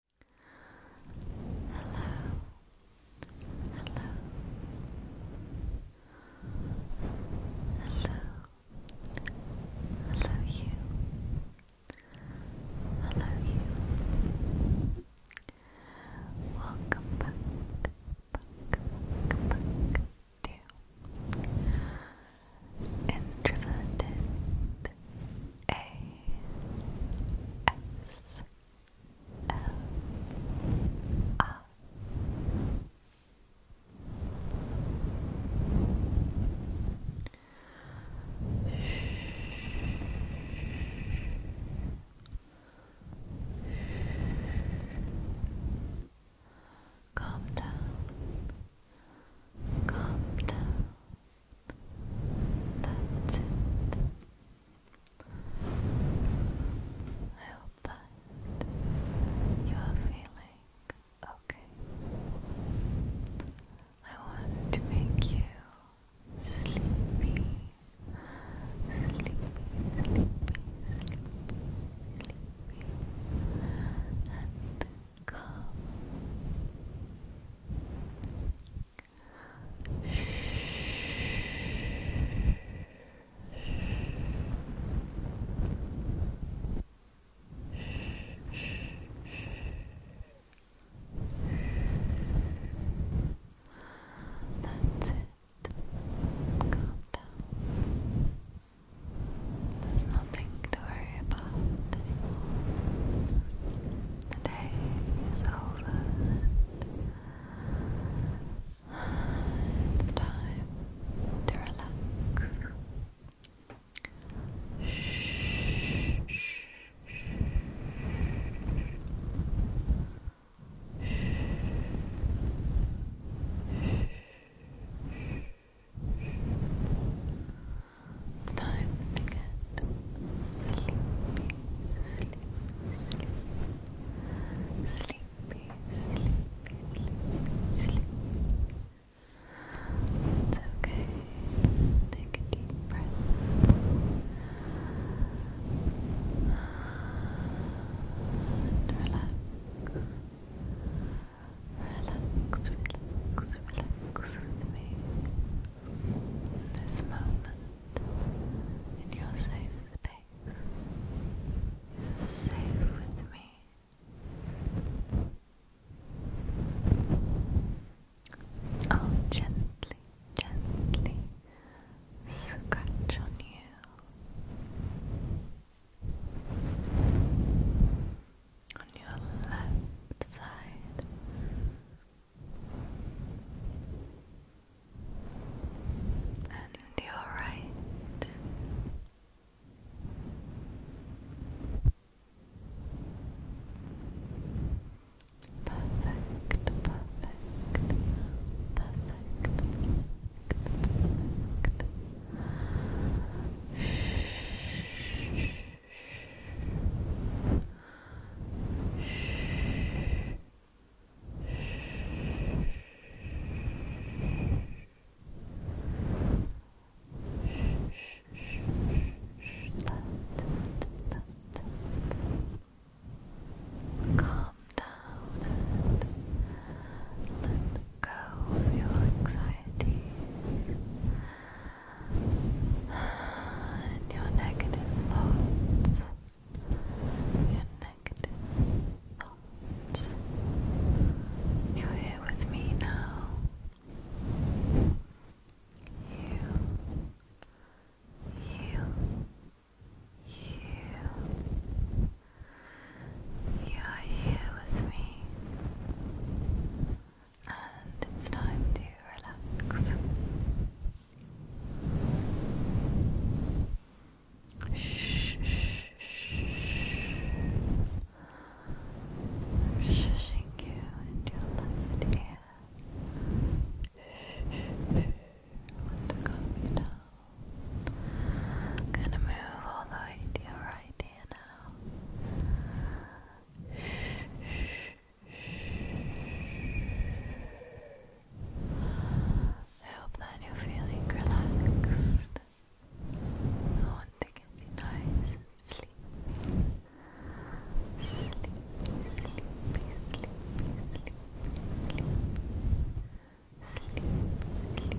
Hello, hello, hello, hello, you, hello, you. Welcome back, back, back, back to Introverted a S L R Calm down. Calm down. That's it. I hope that you are feeling okay. I want to make you sleepy, sleepy, sleepy, sleepy, sleepy, and Come. That's it. Calm down nothing to worry about The day is over. It's time to relax. Shh, shh, shh. Shh. Shh. It's time to get sleepy, sleepy, sleepy, sleepy, sleepy, sleepy, sleepy. It's okay. Take a deep breath. And relax. Relax, relax, relax with me in this moment in your safe space. You're safe with me. I'll gently, gently scratch on you on your left side. And your right, perfect, perfect, perfect. perfect. Shh. Calm down and let go of your anxieties and your negative thoughts, your negative thoughts. You're here with me now. Heal, heal, heal. You are here with me and it's time to relax. Shushing you into your left ear. Shh, shh, shh. calm you down. gonna move all the way to your right ear now. I hope that you're feeling relaxed. I want to get you nice and sleepy. Sleepy, sleepy, sleepy, sleepy, sleepy. Sleepy, sleepy, sleepy, sleepy, sleepy.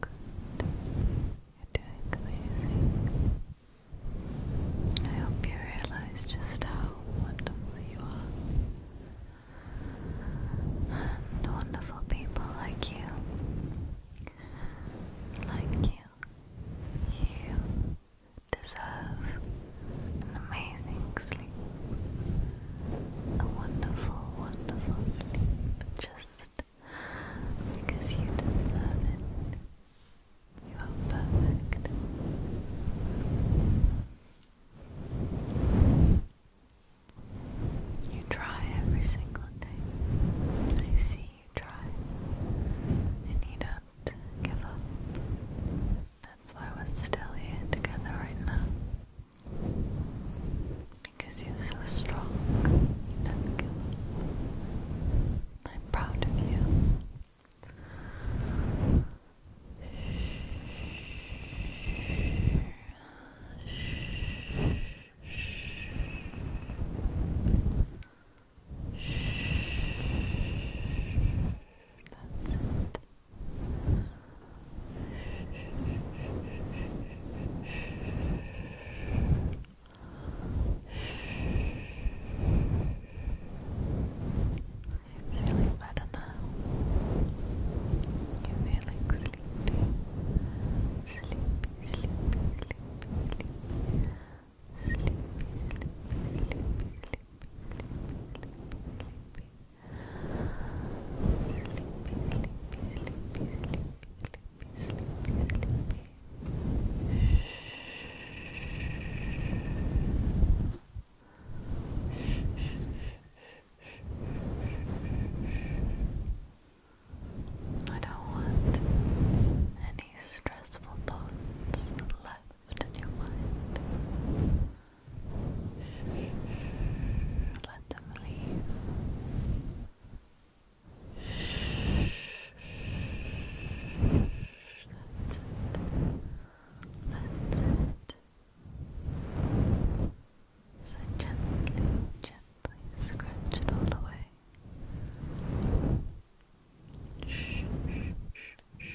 Good. You're doing amazing. I hope you realize just how wonderful you are. And wonderful people like you. Like you. You deserve an amazing sleep. A wonderful, wonderful sleep. Just because you deserve it. You are perfect. You try every single day. I see you try. And you don't give up. That's why we're still here together right now. Because you're so strong, you I'm proud of you. Shh, shh, shh, shh, shh, you're feeling better now. You're feeling sleepy. Sleepy, sleepy, sleepy, sleepy. Sleepy, sleepy, sleepy, sleepy, sleepy, sleepy. Sleepy, sleepy, sleepy, sleepy. I don't want any stressful thoughts left in your mind. Let them leave. That's it. That's it. So gently, gently scratch it all away. Shh, shh, shh, shh.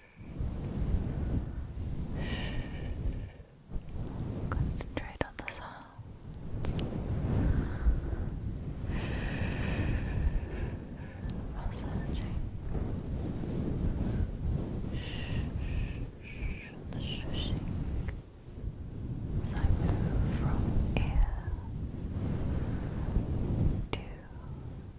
Concentrate on the sounds. Massaging. The shushing. As I move from ear to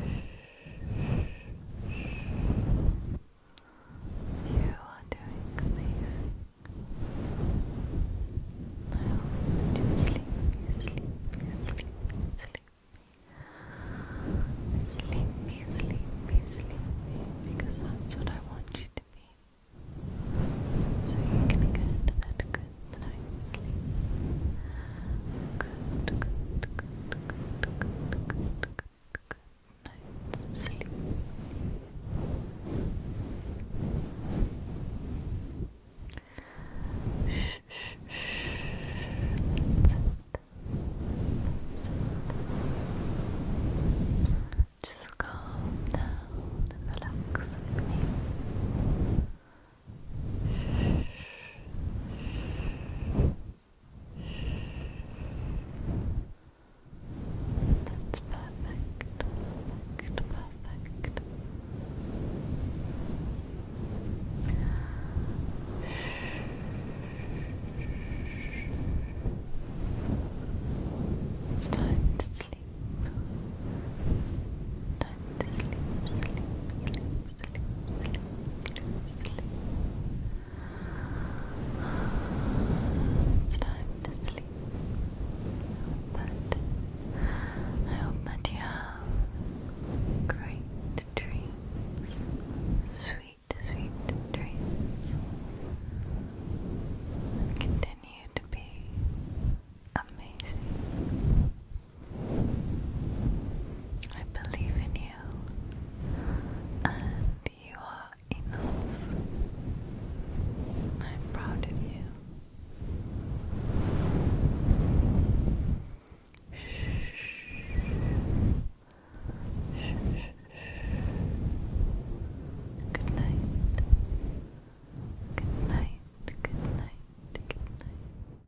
You are doing amazing. I hope you sleepy, sleepy, sleepy, sleepy. Sleepy, sleepy, sleepy, because that's what I want you to be. So you can get into that good night's sleep good, good, good, good, good, good, good night's sleep. Shh, shh, shh. That's it. That's it. Just calm down and relax with me. Shh, shh, shh. That's perfect, perfect, perfect. It's time to sleep. Time to sleep, sleep, it's time to sleep. I hope that you have great dreams, sweet, sweet dreams. Continue to be amazing. I believe in you, and you are enough. I'm proud of you. Shh. Shh, shh, shh. Good night. Good night. Good night. Good night.